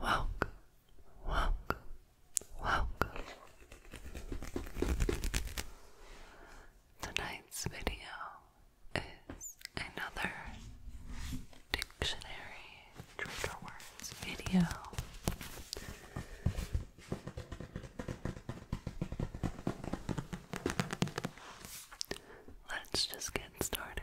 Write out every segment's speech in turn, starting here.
Welcome, welcome, welcome. Tonight's video is another dictionary trigger words video. Let's just get started.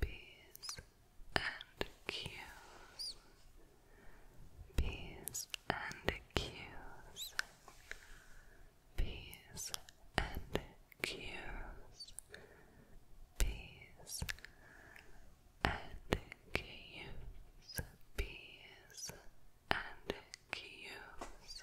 P's and Q's. P's and Q's. P's and Q's. P's and Q's. P's and Q's. P's and Q's.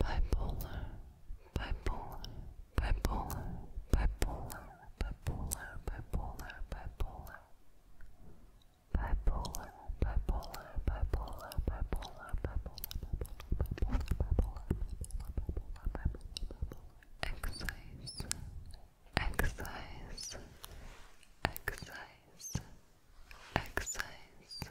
bipolar, bipolar, bipolar, bipolar, bipolar, bipolar, bipolar, bipolar, bipolar, bipolar, bipolar, bipolar, bipolar, bipolar, exercise, exercise, exercise, exercise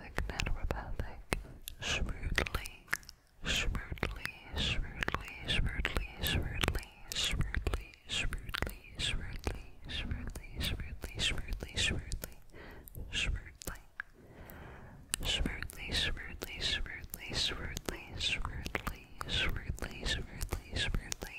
neuropathic, neuropathic, shrewdly, shrewdly, shrewdly, shrewdly, shrewdly, shrewdly, shrewdly, shrewdly, shrewdly, shrewdly, shrewdly, shrewdly, shrewdly. Shrewdly, shrewdly, shrewdly, shrewdly, shrewdly, shrewdly, shrewdly, shrewdly,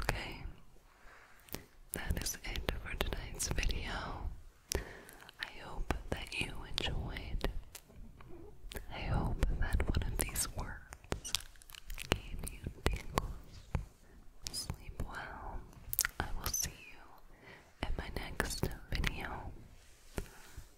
Okay, that is it for tonight's video. I hope that you enjoyed. I hope that one of these words gave you tingles. Sleep well. I will see you in my next video.